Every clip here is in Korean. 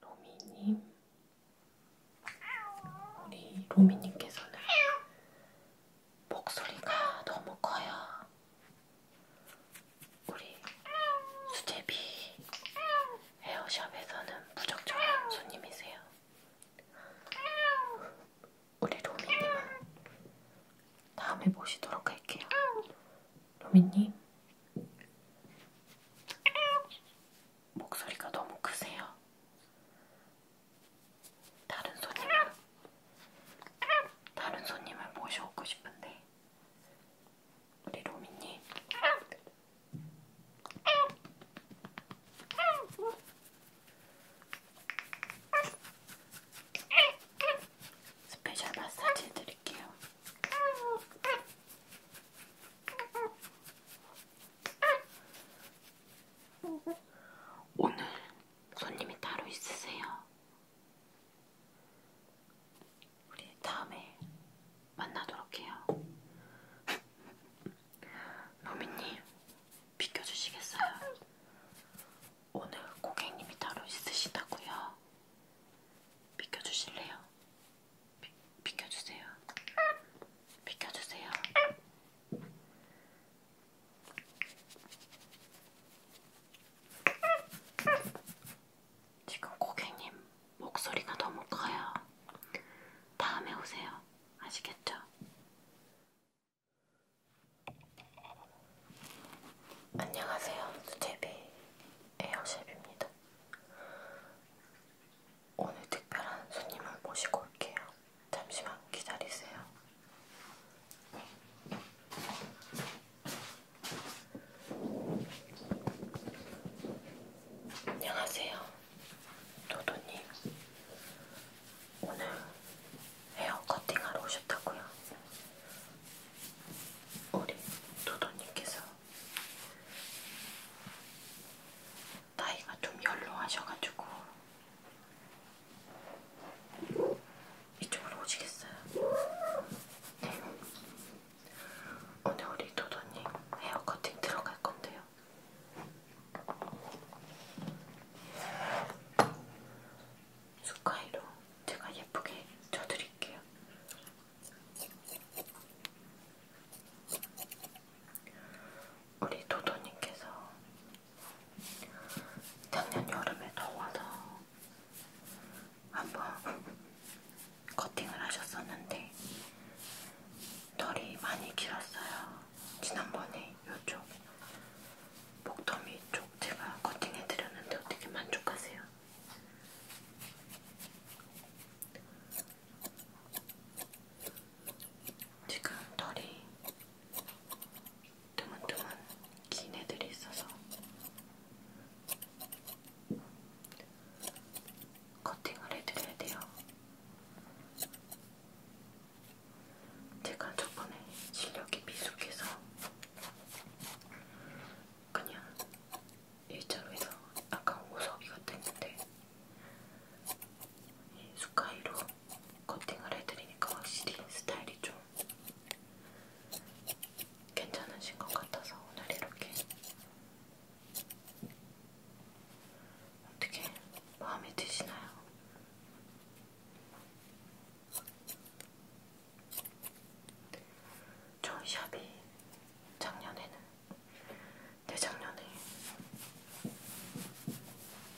로미님, 우리 로미님께서는 목소리가 너무 커요. 우리 수제비 헤어샵에서는 무적절한 손님이세요. 우리 로미님은 다음에 모시도록 할게요. 로미님, 목소리가 너무 크세요. 다른 손님을, 다른 손님을 모셔오고 싶은데, 우리 로미님. 스페셜 마사지들 보여드릴게요. 오늘 손님이 따로 있으세요? 우리 다음에 만나도록 해요. 노미님, 비켜주시겠어요? 오늘 고객님이 따로 있으시다고요? 비켜주실래요? 비, 비켜주세요. 비켜주세요. 지금 고객님 목소리가 너무 커요. 다음에 오세요. 아시겠죠? 안녕하세요, 수제비. 에어샵입니다. 오늘 특별한 손님을 모시고 올게요. 잠시만 기다리세요. 안녕하세요. 도도님. 오늘 헤어 커팅하러 오셨다고요? 우리 도도님께서 나이가 좀 연로하셔가지고 이쪽으로 오시겠어요? 네. 오늘 우리 도도님 헤어 커팅 들어갈 건데요. 스카이로 제가 예쁘게 쳐드릴게요. 우리 도도님께서 작년 여름에 더워서 한번 커팅을 하셨었는데 털이 많이 길었어요. 지난번에 이쪽 목더미 쪽 제가 커팅해드렸는데 어떻게 만족하세요? 지금 털이 드문드문 긴 애들이 있어서 커팅을 해드려야 돼요. 제가 저번에 실력이 미숙해서 그냥 일자로에서 아까 오섭이 같았는데 이 스카이로 커팅을 해드리니까 확실히 스타일이 좀 괜찮으신 것 같아서 오늘 이렇게 어떻게 마음에 드시나요? 저희 샵이 작년에는 대작년에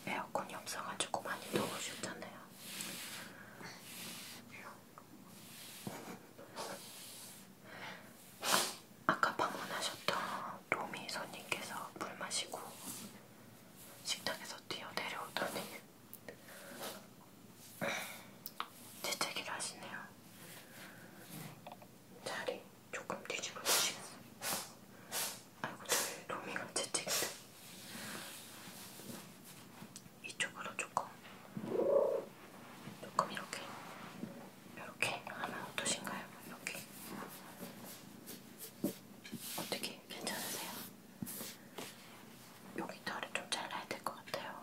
에어컨이 없어가지고 많이 더우셨잖아요. 아까 방문하셨던 로미 손님께서 물 마시고 식탁에서 뛰어 내려오더니 재채기를 하시네요. 자리 조금 뒤집어 보시겠어요? 아이고 저희 로미가 재채기를 이쪽으로 조금 조금 이렇게 이렇게 하면 어떠신가요? 이렇게 어떻게 괜찮으세요? 여기 털을 좀 잘라야 될 것 같아요.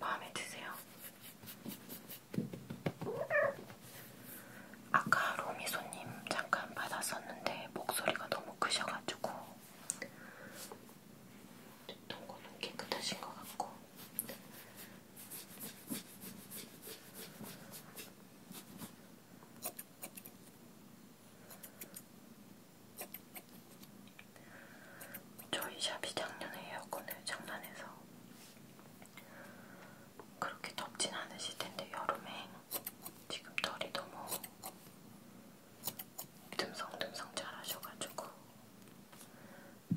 마음에 드세요? 아까 로미손님 잠깐 받았었는데 목소리가 너무 크셔가지고 동공은 깨끗하신 것 같고 저희 샵이 작년에 에어컨을 장난해서 그렇게 덥진 않으실 텐데 여름에 지금 털이 너무 듬성듬성 잘하셔가지고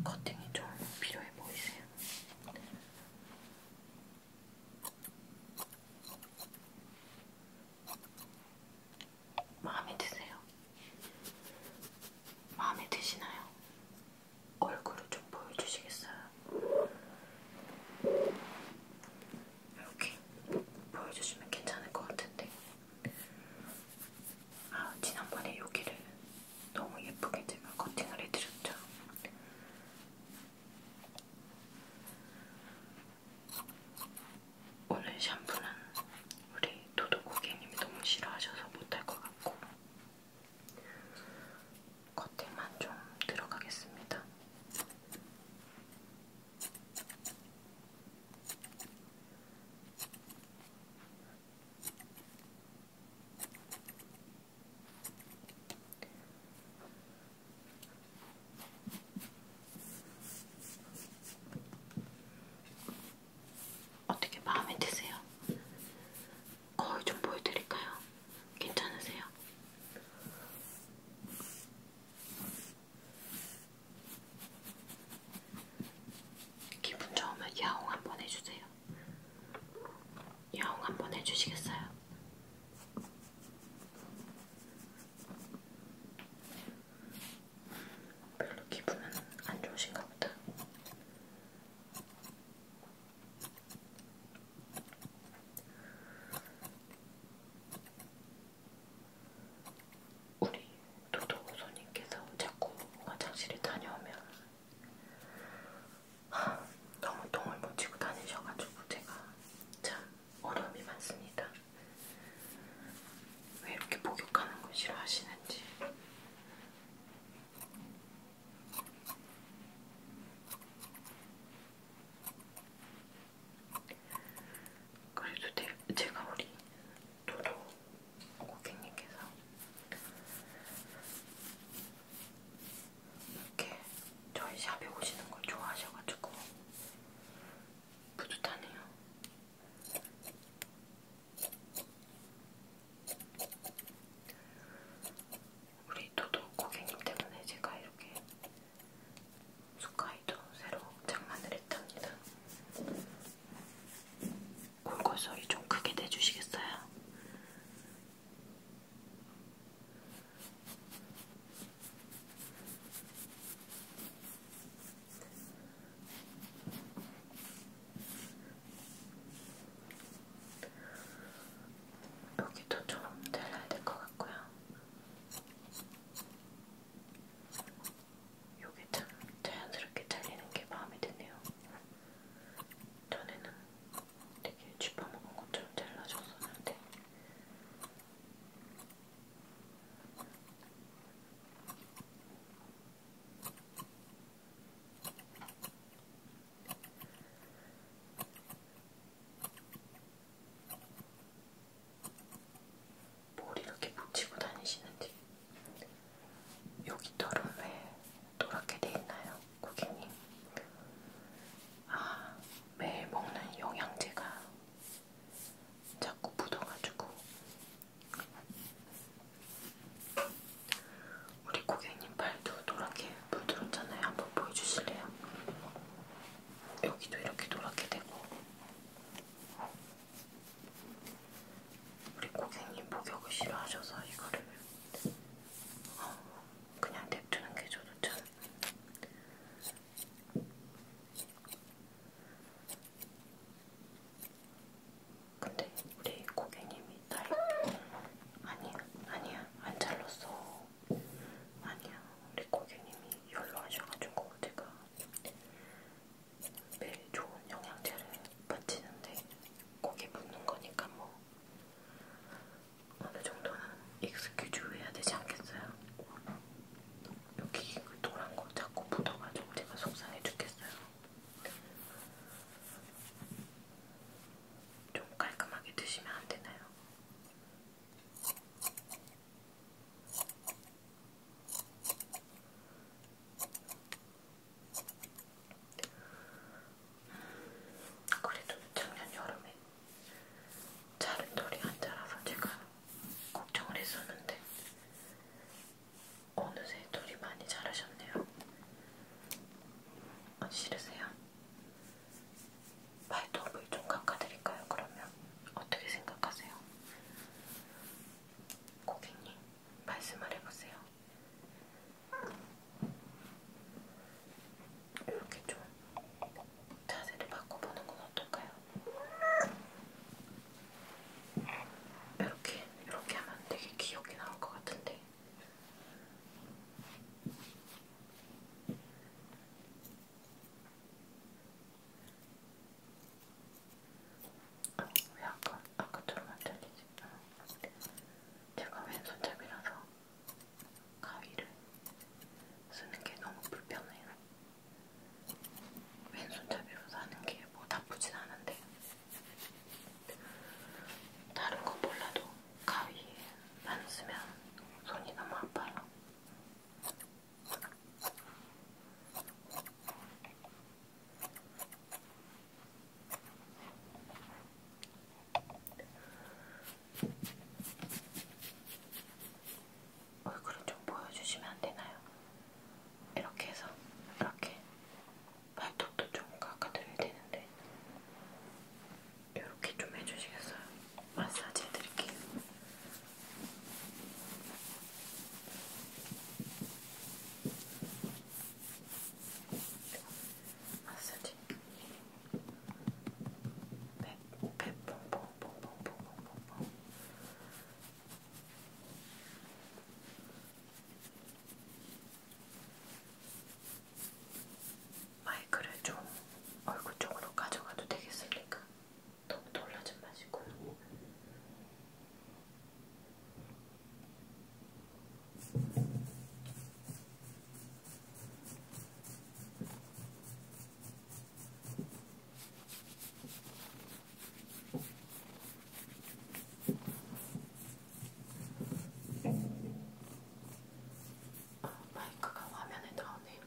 커팅이 좀 필요해 보이세요. 마음에 드세요? 마음에 드시나요? 얼굴을 좀 보여주시겠어요? 이렇게 보여주시면 괜찮을 것 같은데 아 지난번에 여기를 너무 예쁘게 제가 커팅을 해드렸죠. 오늘 샴푸는 우리 도도 고객님이 너무 싫어하셔서 못할 것 같고 커팅만 좀 들어가겠습니다. 어떻게 마음에 드세요? 거울 좀 보여드릴까요? 괜찮으세요? 기분 좋으면 야옹 한번 해주세요. 야옹 한번 해주시겠어요? 별로 기분은 안 좋으신가 보다. 우리 도도 손님께서 자꾸 화장실에 다녀오면 하, 너무 똥을 묻히고 다니셔가지고 제가 참 어려움이 많습니다. 왜 이렇게 목욕하는 걸 싫어하시는지. 그래도 대, 제가 우리 도도 고객님께서 이렇게 저희 샵에 오시는 걸 좋아하셔가지고 뿌듯하네요. 우리 도도 고객님 때문에 제가 이렇게 스카이도 새로 장만을 했답니다. 골골 소리 좀 크게 내주시겠어요? 여기도 좀 잘라야 될 것 같고요. 요게 참 자연스럽게 잘리는 게 마음에 드네요. 전에는 되게 쥐파먹은 것처럼 잘라줬었는데 뭘 이렇게 붙이고 다니시는지 여기 털은 왜 노랗게 돼 있나요, 고객님? 아, 매일 먹는 영양제가 자꾸 묻어가지고 우리 고객님 발도 노랗게 물들었잖아요. 한번 보여주실래요? 여기도 이렇게 노랗게 되고 우리 고객님 목욕을 싫어하셔서 이거를 어, 그냥 냅두는 게 저도 참 근데 우리 고객님이 나이 아니야 아니야 안 잘랐어 아니야, 우리 고객님이 열로 하셔가지고 제가 매일 좋은 영양제를 바치는데 거기 묻는 거니까 뭐 어느 정도는 익스큐즈 해야 되지 않겠어요? 여기 그 노란 거 자꾸 묻어가지고 제가 속상해 죽겠어요. 좀 깔끔하게 드시면 안 되나요? 그래도 작년 여름에 자른 돌이 안 자라서 제가 걱정을 했었는데 어느새 돌이 많이 자라셨네요. 어디 싫으세요? 발톱을 좀 깎아드릴까요? 그러면 어떻게 생각하세요? 고객님 말씀을 해보세요. 이렇게 좀 자세를 바꿔보는 건 어떨까요? 이렇게 이렇게 하면 되게 귀엽게 나올 것 같은데 어, 왜 아까, 아까처럼 안 잘리지? 아. 제가 왼손잡이라서 가위를 쓰는 게 너무 불편해요. 왼손잡이로 사는 게 뭐 나쁘진 않은데 다른 거 몰라도 가위 안 쓰면 손이 너무 아파요. 얼굴을 좀 보여주시면 안 되나요? 이렇게 해서 이렇게 발톱도 좀 깎아드려야 되는데 이렇게 좀 해주시겠어요? 마사지 해드릴게요. 마사지. 배배뽕뽕뽕뽕뽕뽕뽕. 네, 마이크를 좀 얼굴 쪽으로 가져가도 되겠습니까? 너무 놀라지 마시고요. 아, 어, 마이크가 화면에 나오네요.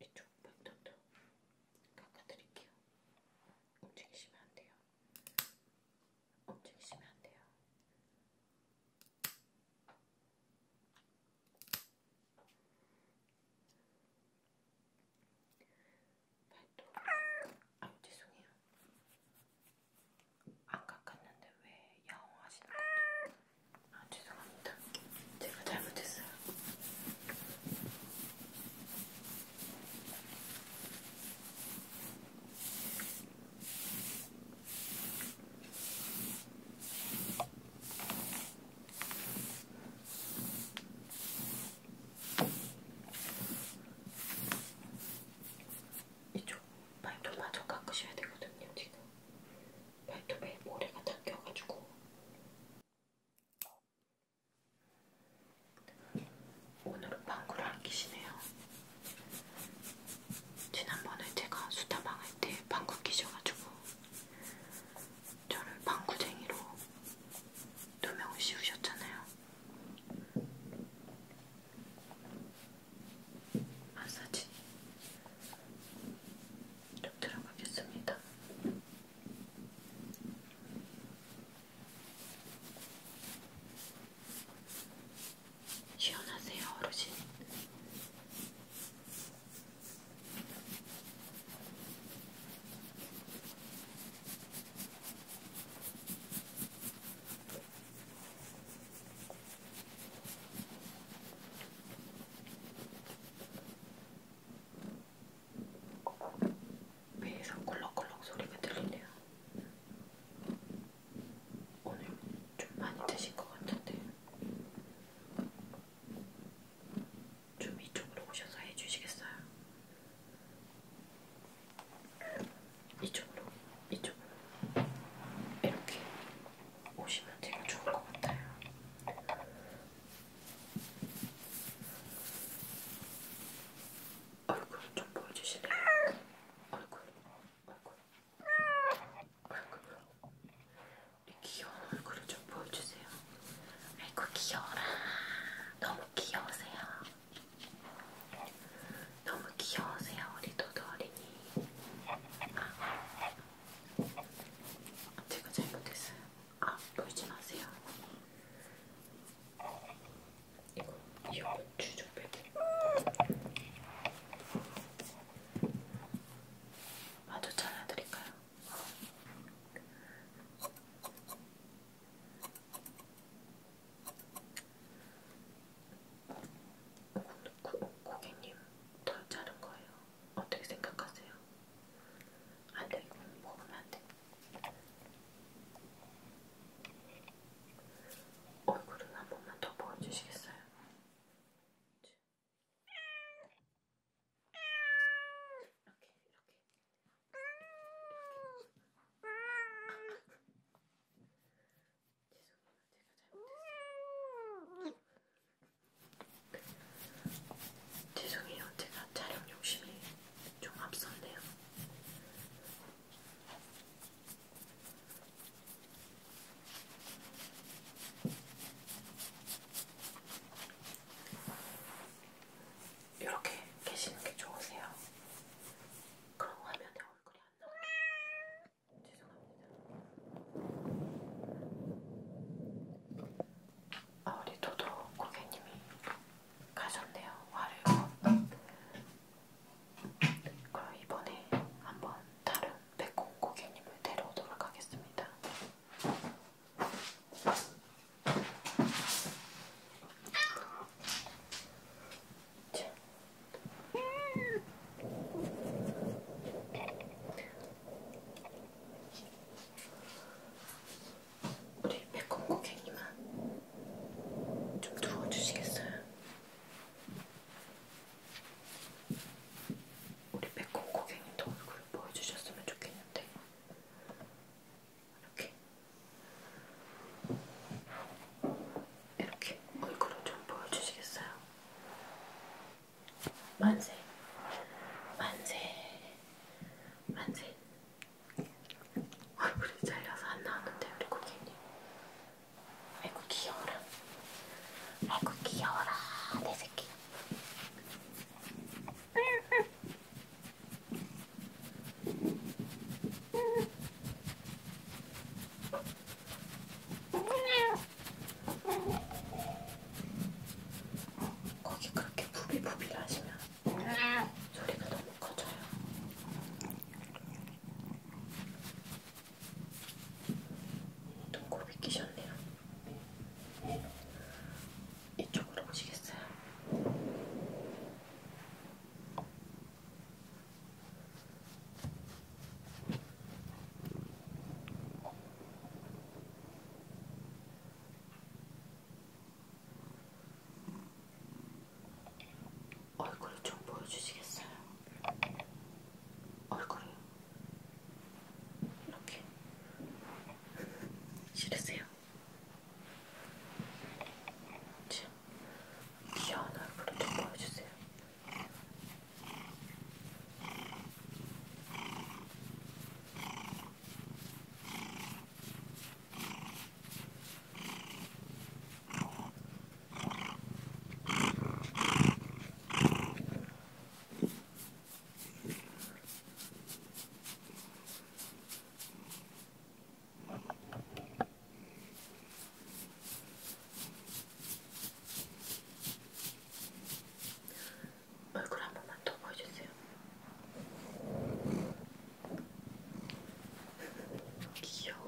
이쪽 방도도 깎아드릴게요. 움직이시면 안 돼요. 움직이시면 안 돼요. 발톱 아우 죄송해요. 안 깎았는데 왜 야옹하시는 거죠? 아 죄송합니다. 제가 잘못했어요. 이쪽 발톱마저 깎으셔야 되거든요, 지금. 발톱에 모래가 닦여가지고. 오늘은 방구를 안 끼시네요. 지난번에 제가 수다방 할 때 방구 끼셔가지고 저를 방구쟁이로 누명을 씌우셨잖아요. 마사지 좀 들어가겠습니다. 시원하세요, 어르신. 배에서 꿀렁꿀렁 소리가 들리네요. 오늘 좀 많이 드신 것 같은데 좀 이쪽으로 오셔서 해주시겠어요? 이쪽으로, 이쪽으로 이렇게 오시면 되게 좋을 것 같아요. 얼굴 좀 보여주실래요? 얼굴, 얼굴, 얼굴. 이 귀여운 얼굴을 좀 보여주세요. 아이고 귀여워라. 너무 귀여우세요. 네. 너무 귀여우세요, 우리 도도 어린이. 아, 제가 잘못했어요. 아, 보이지 마세요. 이거, 이거 주좀 빼게. 마저 잘라드릴까요? 고, 고객님 덜 자른 거예요. 어떻게 생각하세요? 안 돼, 이건 먹으면 안 돼. 얼굴을 한 번만 더 보여주시겠어요? 이렇게 이렇게 이렇게 죄송해요. 제가 잘못했어요. 죄송해요. 제가 촬영 욕심이 좀 앞섰네요. 이렇게 계시는 게 좋으세요? 그런 거 하면은 내 얼굴이 안 나와요. 죄송합니다. 아, 우리 도도 고객님이 가셨네요. 화를 그럼 이번에 한번 다른 백공 고객님을 데려오도록 하겠습니다. 우리 백건 고객님만 좀 누워주시겠어요? 우리 백건 고객님도 얼굴을 보여주셨으면 좋겠는데 이렇게 이렇게 얼굴을 좀 보여주시겠어요? 만세 만세 만세 얼굴이 잘려서 안 나오는데 우리 고객님 아이고 귀여워라 아이고 귀여워라 내 새끼 거기 그렇게 부비부비 하시면 소리가 너무 커져요. 눈곱이 끼셨네요. 이쪽으로 오시겠어요? 얼굴 좀 보여주시겠어요? 얼굴 이렇게 싫으세요? 귀여운 얼굴을 좀 보여주세요. 얼굴 한 번만 더 보여주세요. 귀여워.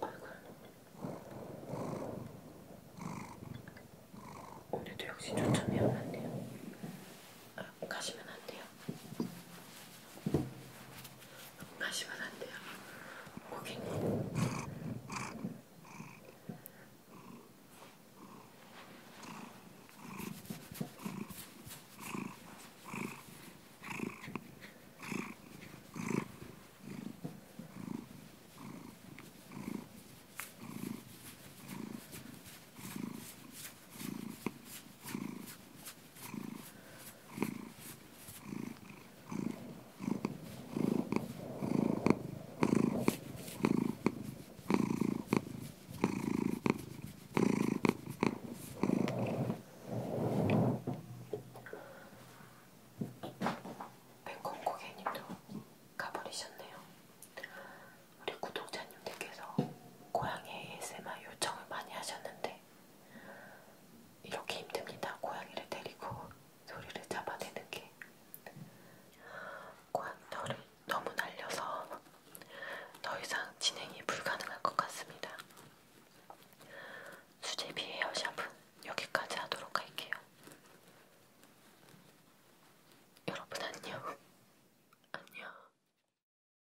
얼굴. 오늘도 역시 초점이 안 맞네요. 어, 가시면 안 돼요. 가시면 안 돼요. 고객님. 백건 고객님도 가버리셨네요. 우리 구독자님들께서 고양이 ASMR 요청을 많이 하셨는데 이렇게 힘듭니다. 고양이를 데리고 소리를 잡아내는 게 고양이를 너무 날려서 더 이상 진행이 불가능할 것 같습니다. 수제비 헤어샵은 여기까지 하도록 할게요. 여러분 안녕. 안녕.